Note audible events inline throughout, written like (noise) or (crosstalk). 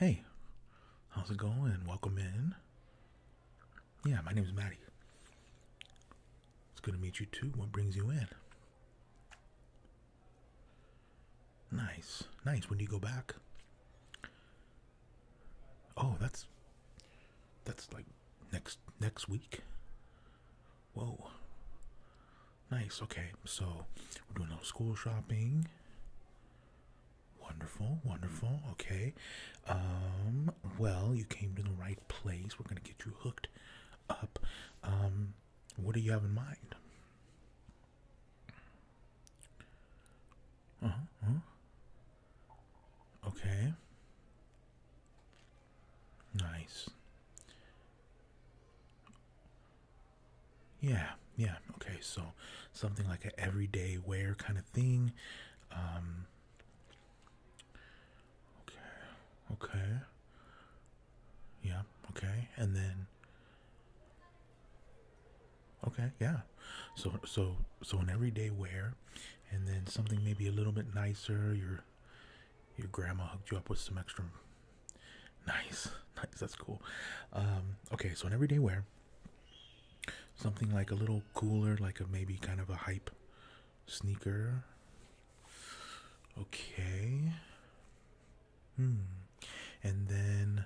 Hey, how's it going? Welcome in. Yeah, my name is Maddie. It's good to meet you too. What brings you in? Nice, nice. When do you go back? Oh, that's that's like next next week. Whoa. Nice. Okay, so we're doing a little school shopping. Wonderful, wonderful. Okay. Um, well, you came to the right place. We're gonna get you hooked up. Um, what do you have in mind? Uh -huh. Uh-huh. Okay. Nice. Yeah, yeah. Okay, so something like an everyday wear kind of thing. Um, okay. Okay. Yeah, okay. And then Okay, yeah. So so so an everyday wear, and then something maybe a little bit nicer. Your your grandma hooked you up with some extra. (laughs) Nice, (laughs) nice. That's cool. Um, okay, so an everyday wear. Something like a little cooler, like a maybe kind of a hype sneaker. Okay. Hmm. And then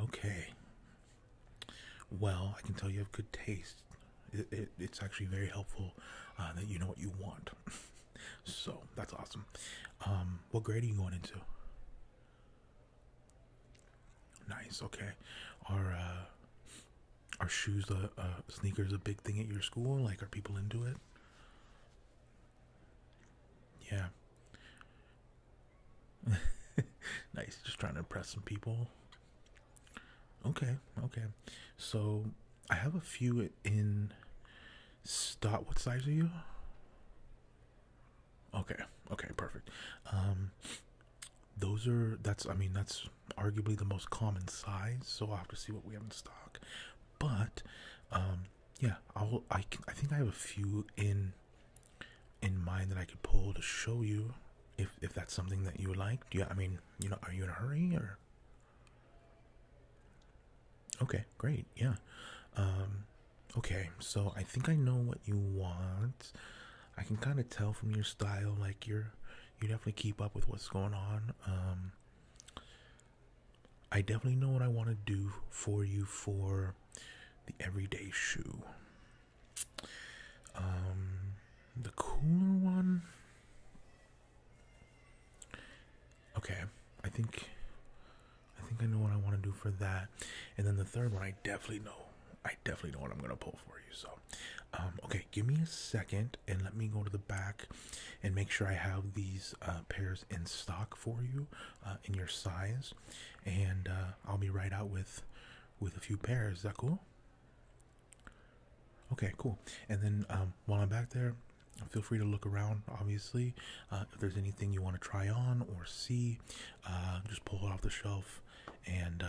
Okay. Well, I can tell you have good taste. it's actually very helpful uh, that you know what you want. (laughs) so that's awesome. Um, what grade are you going into? Nice. Okay. Are uh, are shoes, uh, sneakers, a big thing at your school? Like, are people into it? Yeah. (laughs) nice, just trying to impress some people. Okay, okay. So I have a few in stock. What size are you? Okay, okay, perfect. Um, those are that's I mean that's arguably the most common size. So I'll have to see what we have in stock. But um, yeah, I'll I can, I think I have a few in in mind that I could pull to show you if if that's something that you like. Do I mean, you know, are you in a hurry or Okay, great. Yeah. Um, okay, so I think I know what you want. I can kind of tell from your style like you're you definitely keep up with what's going on. Um, I definitely know what I want to do for you for the everyday shoe. Um, the cooler one. Okay, I think I think I know what I want to do for that. And then the third one, I definitely know. I definitely know what I'm gonna pull for you. So, um, okay, give me a second and let me go to the back and make sure I have these uh, pairs in stock for you uh, in your size and uh, I'll be right out with with a few pairs. Is that cool? Okay, cool. And then um, while I'm back there, feel free to look around. Obviously, uh, if there's anything you want to try on or see, uh, just pull it off the shelf. And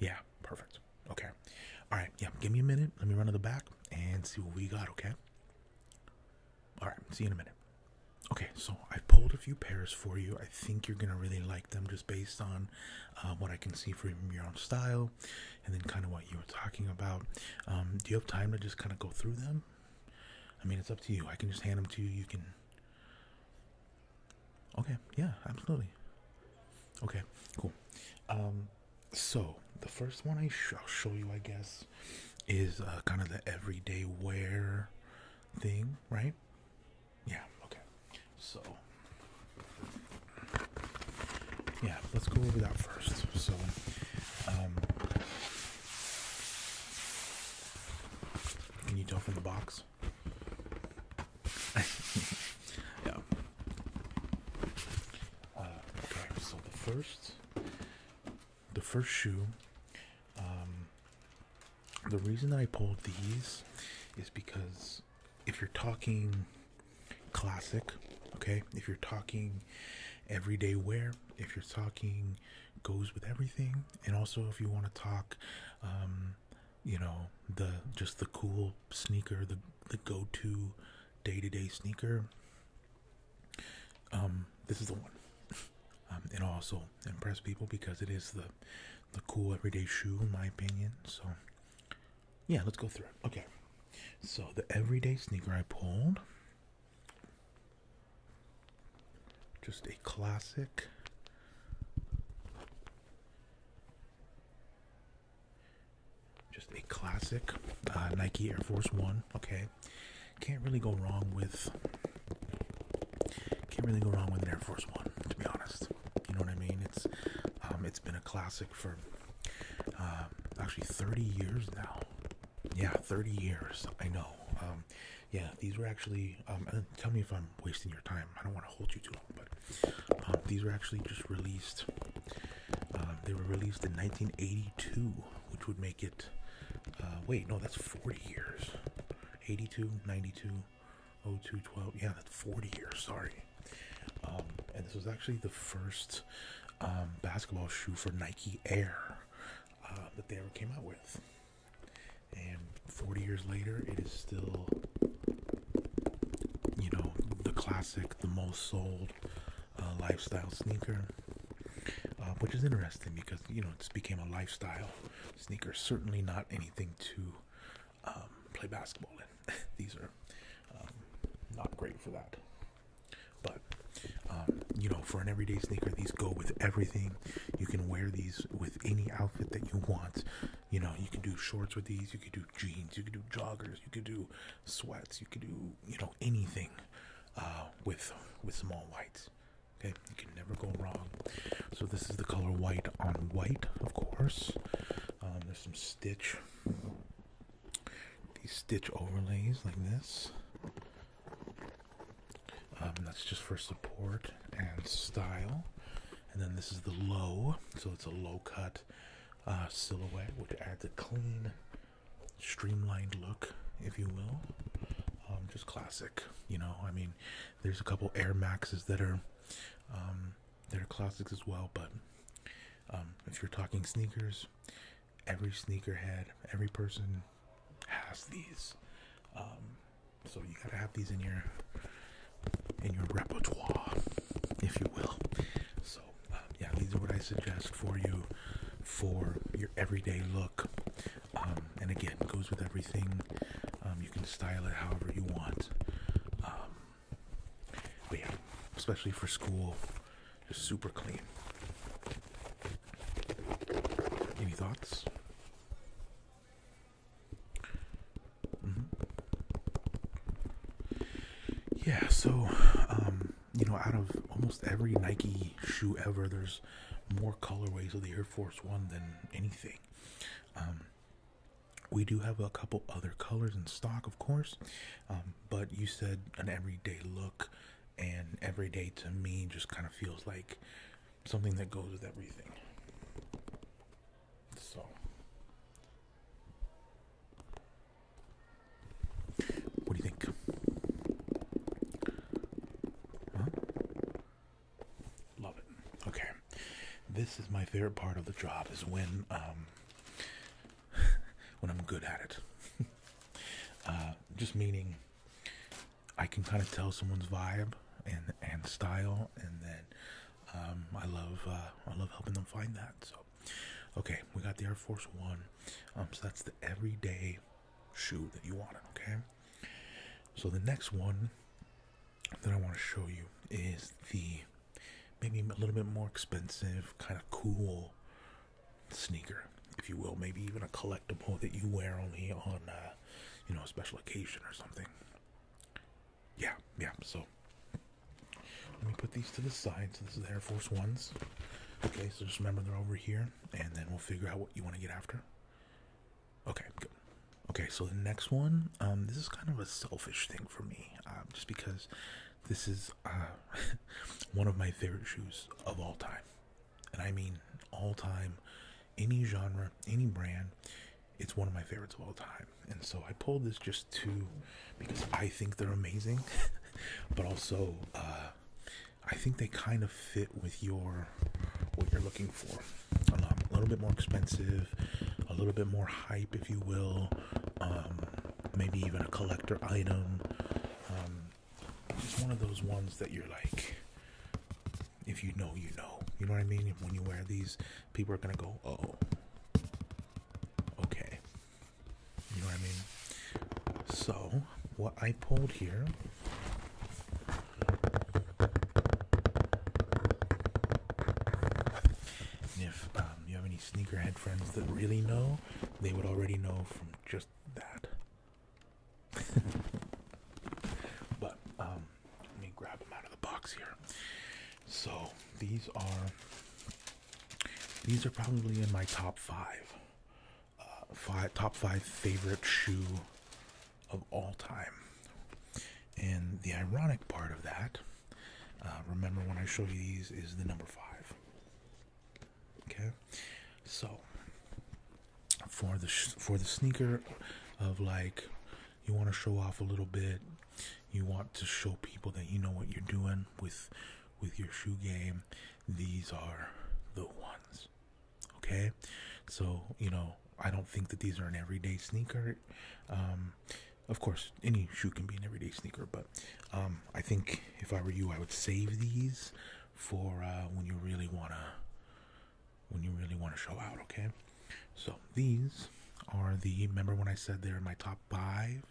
yeah, perfect. Okay. All right. Yeah, give me a minute. Let me run to the back and see what we got. Okay. All right, see you in a minute. Okay, so I pulled a few pairs for you. I think you're gonna really like them just based on uh, what I can see from your own style, and then kind of what you were talking about. Um, do you have time to just kind of go through them? I mean, it's up to you. I can just hand them to you. You can. Okay. Yeah. Absolutely. Okay. Cool. Um, so the first one I sh I'll show you, I guess is uh, kind of the everyday wear thing, right? Yeah, okay. So, yeah, let's go over that first. So, um, can you tell from the box? (laughs) yeah. Uh, okay, so the first the first shoe um, the reason i pulled these is because if you're talking classic okay if you're talking everyday wear if you're talking goes with everything and also if you want to talk um, you know the just the cool sneaker the the go-to day-to-day sneaker um, this is the one. Um, it also impress people because it is the the cool everyday shoe in my opinion. So yeah, let's go through it. Okay. So the everyday sneaker I pulled. Just a classic. Just a classic uh, Nike Air Force One. Okay. Can't really go wrong with. Can't really go wrong with an Air Force One, to be honest. You know what I mean? It's um, it's been a classic for uh, actually 30 years now. Yeah, 30 years. I know. Um, yeah, these were actually. Um, tell me if I'm wasting your time. I don't want to hold you too long, but um, these were actually just released. Uh, they were released in 1982 which would make it. Uh, wait, no, that's 40 years. 82, 92, 02, 12. Yeah, that's 40 years. Sorry. Um, and this was actually the first um, basketball shoe for Nike Air uh, that they ever came out with. And 40 years later, it is still, you know, the classic, the most sold, uh, lifestyle sneaker, uh, which is interesting because you know it's became a lifestyle sneaker. Certainly not anything to um, play basketball in. (laughs) These are um, not great for that. But um, you know, for an everyday sneaker, these go with everything. You can wear these with any outfit that you want. You know, you can do shorts with these. You can do jeans. You can do joggers. You could do sweats. You could do you know anything uh, with with small whites. Okay, you can never go wrong. So this is the color white on white, of course. Um, there's some stitch, these stitch overlays like this. Um, that's just for support and style. And then this is the low, so it's a low cut uh, silhouette, which adds a clean streamlined look, if you will. Um, just classic, you know. I mean, there's a couple Air Maxes that are um, that are classics as well, but um, if you're talking sneakers, every sneakerhead, every person has these. Um, so you gotta have these in your in your repertoire, if you will. So yeah, these are what I suggest for you for your everyday look. Um, and again, goes with everything. Um, you can style it however you want. Um, but yeah, especially for school, just super clean. Any thoughts? Mm-hmm. Yeah, so you know, out of almost every Nike shoe ever, there's more colorways of the Air Force One than anything. Um, we do have a couple other colors in stock, of course, um, but you said an everyday look, and everyday to me just kind of feels like something that goes with everything. So. What do you think? Love it. Okay. This is my favorite part of the job is when um, when I'm good at it. (laughs) Uh, just meaning I can kind of tell someone's vibe and and style and then um, I love uh, I love helping them find that. So okay, we got the Air Force One. Um, so that's the everyday shoe that you wanted, okay? So the next one that I want to show you is the maybe a little bit more expensive, kind of cool sneaker, if you will. Maybe even a collectible that you wear only on, uh, you know, a special occasion or something. Yeah, yeah. So let me put these to the side. So this is the Air Force Ones. Okay, so just remember they're over here and then we'll figure out what you want to get after. Okay, good. Okay, so the next one, um, this is kind of a selfish thing for me, um, just because this is uh, (laughs) one of my favorite shoes of all time. And I mean all time, any genre, any brand, it's one of my favorites of all time. And so I pulled this just to, because I think they're amazing, (laughs) but also uh, I think they kind of fit with your what you're looking for. a little bit more expensive, a little bit more hype, if you will. Um, maybe even a collector item. Um, just one of those ones that you're like, if you know, you know. You know what I mean? When you wear these, people are gonna go, oh, okay. You know what I mean? So what I pulled here. if um, you have any sneakerhead friends that really know, they would already know from just that. (laughs) but um, let me grab them out of the box here. So these are these are probably in my top five five top five favorite shoe of all time. And the ironic part of that, uh, remember when I showed you these, is the number five. Okay, so for the for the sneaker of like you want to show off a little bit, you want to show people that you know what you're doing with with your shoe game. These are the ones. Okay, so you know, I don't think that these are an everyday sneaker. Um, of course, any shoe can be an everyday sneaker, but um, I think if I were you, I would save these for uh, when you really wanna when you really wanna show out. Okay, so these are the remember when I said they're my top five.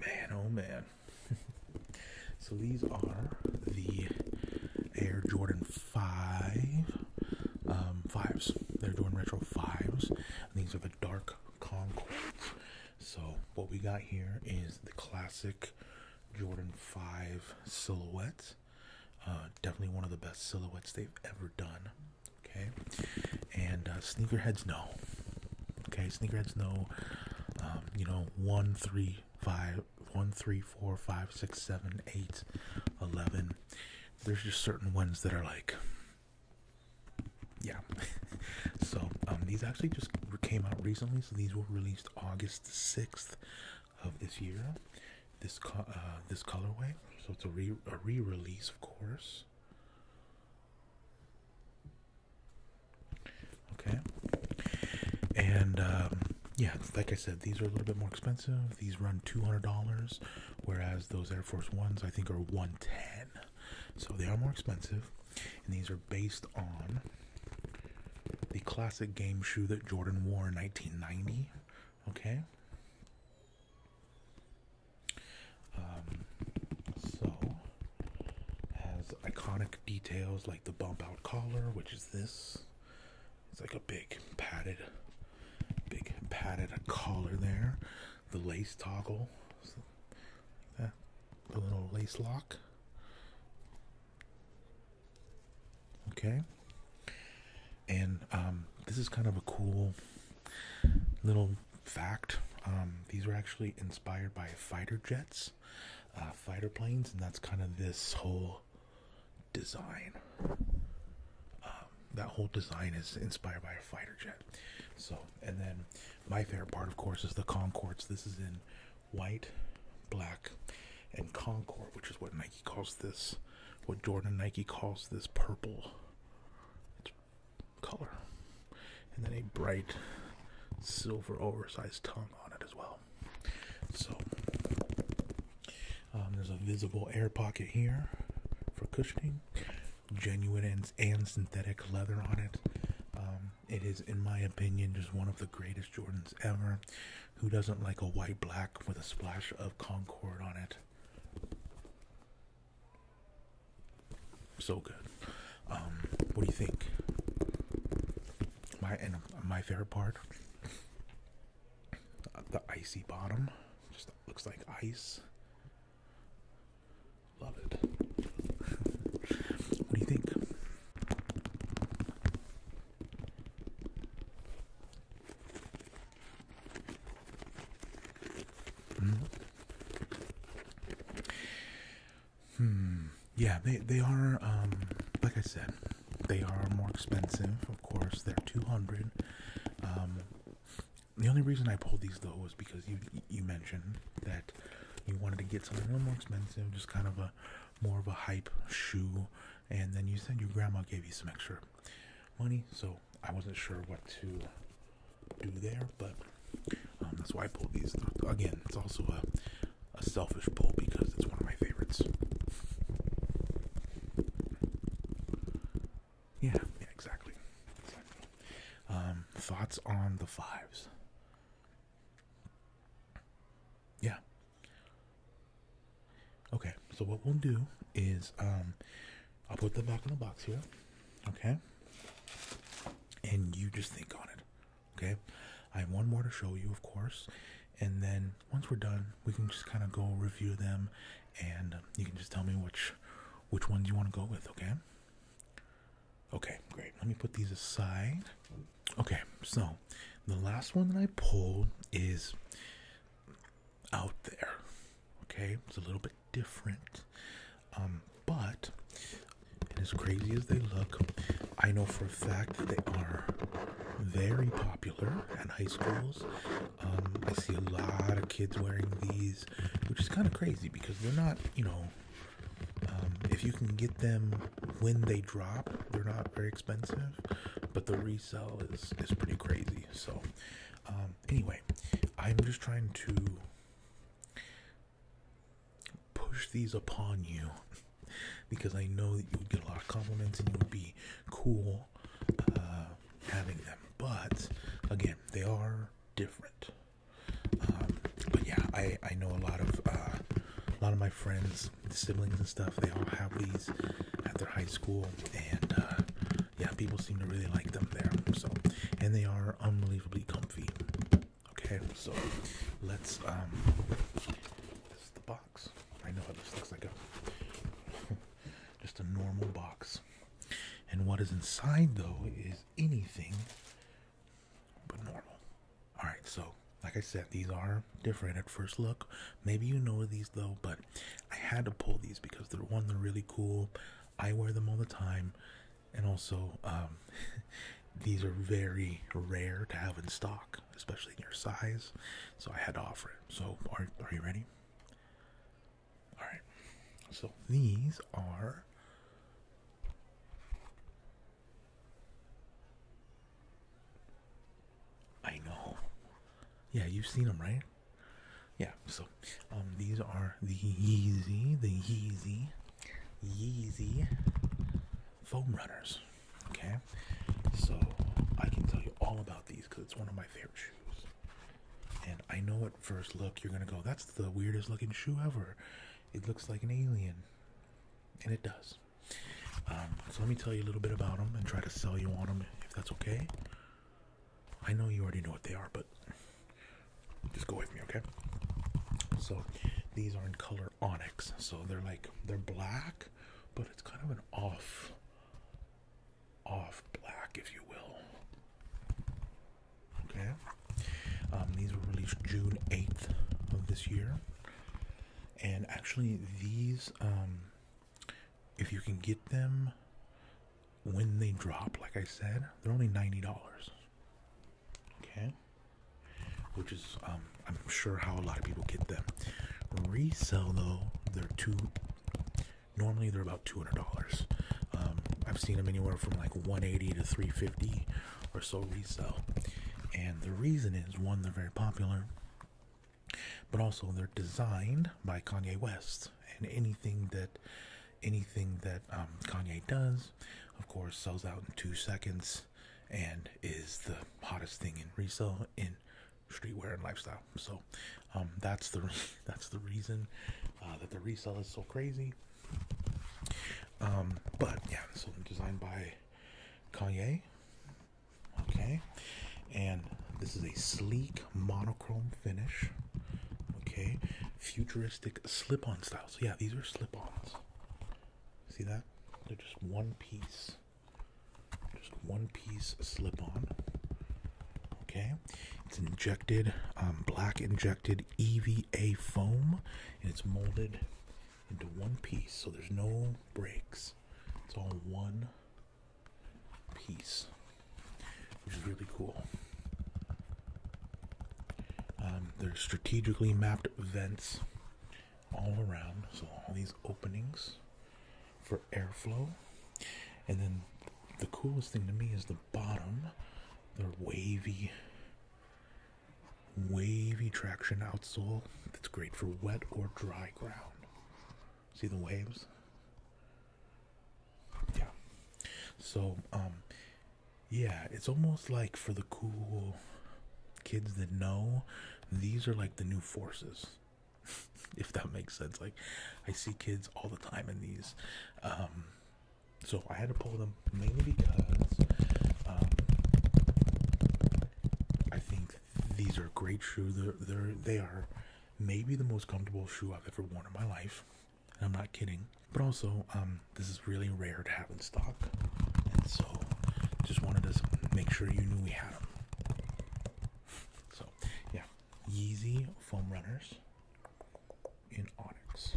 Man, oh man. (laughs) so these are the Air Jordan 5 5s. They're doing Retro 5s. these are the dark Concords. So what we got here is the classic Jordan 5 silhouette. Uh, definitely one of the best silhouettes they've ever done. Okay, and uh, sneakerheads know. Okay, sneakerheads know. Um, you know, one, three, five, one, three, four, five, six, seven, eight, eleven. There's just certain ones that are like, yeah. (laughs) so um, these actually just came out recently. So these were released August sixth of this year. This co uh, this colorway, so it's a re a re-release, of course. Okay, and um, yeah, like I said, these are a little bit more expensive. These run two hundred dollars, whereas those Air Force Ones I think are one ten. So they are more expensive, and these are based on the classic game shoe that Jordan wore in nineteen ninety. Okay. Um, so has iconic details like the bump out collar, which is this. It's like a big padded, big padded collar there. The lace toggle, so, that, the little lace lock. Okay and um, this is kind of a cool little fact. Um, these were actually inspired by fighter jets, uh, fighter planes, and that's kind of this whole design. Um, that whole design is inspired by a fighter jet. So, and then my favorite part, of course, is the Concorde. This is in white, black, and Concorde, which is what Nike Nike calls this, what Jordan Nike calls this purple color, and then a bright silver oversized tongue on it as well. So um, there's a visible air pocket here for cushioning, genuine and, synthetic leather on it. Um, it is, in my opinion, just one of the greatest Jordans ever. Who doesn't like a white black with a splash of Concord on it? So good. Um, what do you think? My and my favorite part, the icy bottom, just looks like ice. Love it. (laughs) what do you think? Mm. Hmm. Yeah, they they are. Um, like I said, they are more expensive. Of course, they're two hundred. Um, the only reason I pulled these though was because you you mentioned that you wanted to get something a little more expensive, just kind of a more of a hype shoe and then you said your grandma gave you some extra money, so I wasn't sure what to do there, but um, that's why I pulled these. Again, it's also a, selfish pull because it's one of my favorites. Yeah, yeah, exactly. Um, thoughts on the fives? Yeah, Okay, so what we'll do is um, I'll put them back in the box here, okay? And you just think on it, okay? I have one more to show you, of course, and then once we're done, we can just kind of go review them, and um, you can just tell me which which ones you want to go with, okay? Okay, great. Let me put these aside. Okay, so the last one that I pulled is out there. Okay, it's a little bit different. Um, but as crazy as they look, I know for a fact that they are very popular at high schools. Um, I see a lot of kids wearing these, which is kind of crazy because they're not, you know, um, if you can get them when they drop, they're not very expensive, but the resell is, is pretty crazy. So, um, anyway, I'm just trying to push these upon you (laughs) because I know that you would get a lot of compliments and you would be cool uh, having them. But again, they are different. Um, but yeah, I I know a lot of uh, a lot of my friends, siblings and stuff. They all have these at their high school, and uh, yeah, people seem to really like them there. So, and they are unbelievably comfy. Okay, so let's um, this is the box. I know how this looks like a (laughs) just a normal box, and what is inside though is anything but normal. All right, so like I said, these are different at first look. Maybe you know these though, but I had to pull these because they're one, they're really cool. I wear them all the time, and also um, (laughs) these are very rare to have in stock, especially in your size. So I had to offer it. So are are you ready? All right. So these are. I know. Yeah, you've seen them, right? yeah so um, these are the yeezy the yeezy yeezy foam runners okay so i can tell you all about these because it's one of my favorite shoes and i know at first look you're gonna go that's the weirdest looking shoe ever it looks like an alien and it does um, so let me tell you a little bit about them and try to sell you on them if that's okay I know you already know what they are, but just go with me, okay? So these are in color onyx, so they're like they're black, but it's kind of an off off black, if you will. Okay. Um, these were released June 8th of this year. And actually these um, if you can get them when they drop, like I said, they're only $90. Okay? Which is, um, I'm sure, how a lot of people get them. Resell, though, they're two, normally they're about $200. Um, I've seen them anywhere from like 180 to 350 or so resell. And the reason is one, they're very popular but also they're designed by Kanye West and anything that anything that um, Kanye does of course sells out in two seconds and is the hottest thing in resale in streetwear and lifestyle so um, that's the (laughs) that's the reason uh, that the resale is so crazy um, but yeah so designed by Kanye Okay, and this is a sleek monochrome finish. Okay, futuristic slip on style. So, yeah, these are slip ons. See that? They're just one piece, just one piece slip on. Okay, it's injected, um, black injected EVA foam, and it's molded into one piece, so there's no breaks. It's all one piece, which is really cool. Um, there's strategically mapped vents all around, so all these openings for airflow. And then the coolest thing to me is the bottom, the wavy, wavy traction outsole that's great for wet or dry ground. See the waves? Yeah. So, um, yeah, it's almost like for the cool kids that know, these are like the new forces. (laughs) if that makes sense. Like, I see kids all the time in these. Um, so I had to pull them mainly because um, I think these are great shoes. They're, they're, they are maybe the most comfortable shoe I've ever worn in my life. And I'm not kidding. But also, um, this is really rare to have in stock. And so, just wanted to make sure you knew we had them. So, yeah. Yeezy Foam Runners in Onyx.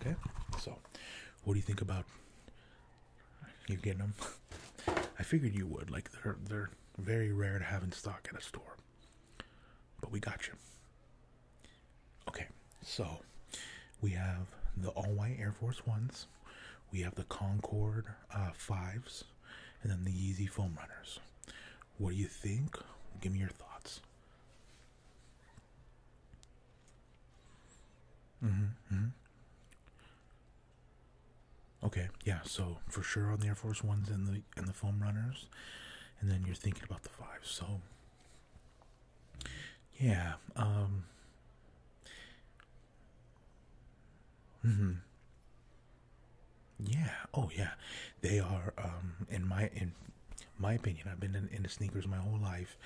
Okay, so what do you think about you getting them? (laughs) I figured you would. Like they're they're very rare to have in stock at a store, but we got you. Okay, so we have the all white Air Force Ones, we have the Concord uh, Fives, and then the Yeezy Foam Runners. What do you think? Give me your thoughts. Mm-hmm, mm-hmm. Okay, yeah. So for sure on the Air Force Ones and the and the foam runners, and then you're thinking about the five. So yeah. Um. Mm Yeah. Oh, yeah. They are. Um. In my in my opinion, I've been in, the sneakers my whole life.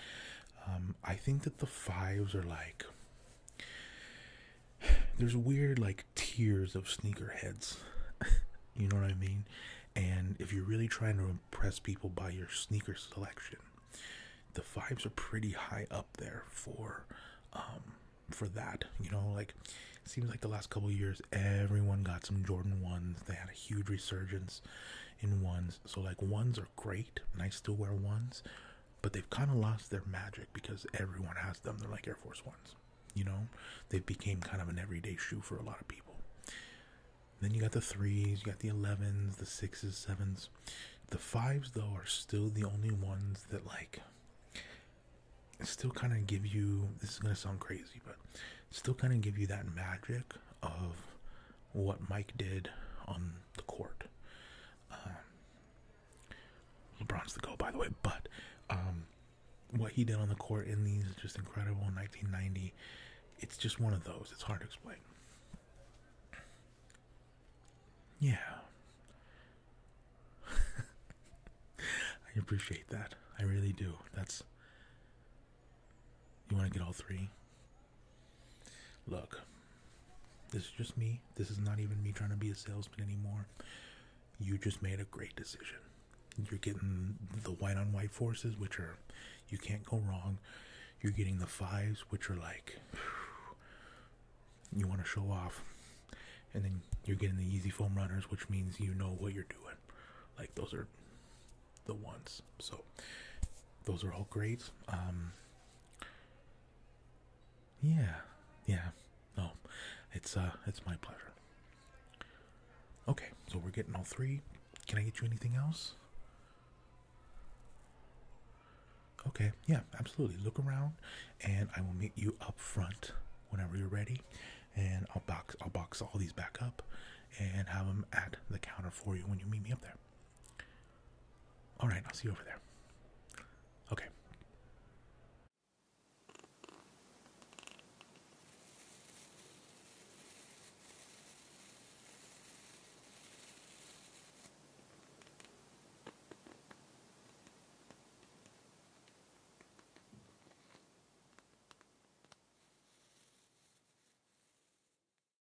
Um, I think that the fives are like there's weird like tiers of sneakerheads. (laughs) you know what I mean? And if you're really trying to impress people by your sneaker selection, the fives are pretty high up there for um, for that. You know, like seems like the last couple years everyone got some Jordan ones. They had a huge resurgence in ones. So like ones are great, and I still wear ones, but they've kind of lost their magic because everyone has them. They're like Air Force Ones, you know. They became kind of an everyday shoe for a lot of people. Then you got the threes, you got the elevens, the sixes, sevens. The fives though are still the only ones that like still kind of give you this is going to sound crazy but still kind of give you that magic of what Mike did on the court. Um, LeBron's the go, by the way, but um, what he did on the court in these is just incredible. 1990, it's just one of those. It's hard to explain. Yeah. (laughs) I appreciate that. I really do. That's. You want to get all three? Look, this is just me. This is not even me trying to be a salesman anymore. You just made a great decision. You're getting the white on white forces, which are you can't go wrong. You're getting the fives, which are like you want to show off. And then you're getting the easy foam runners, which means you know what you're doing. Like those are the ones. So those are all great. Um, yeah, yeah. No, it's uh, it's my pleasure. Okay, so we're getting all three. Can I get you anything else? Okay, yeah, absolutely. Look around, and I will meet you up front whenever you're ready, and I'll box I'll box all these back up, and have them at the counter for you when you meet me up there. All right, I'll see you over there. Okay.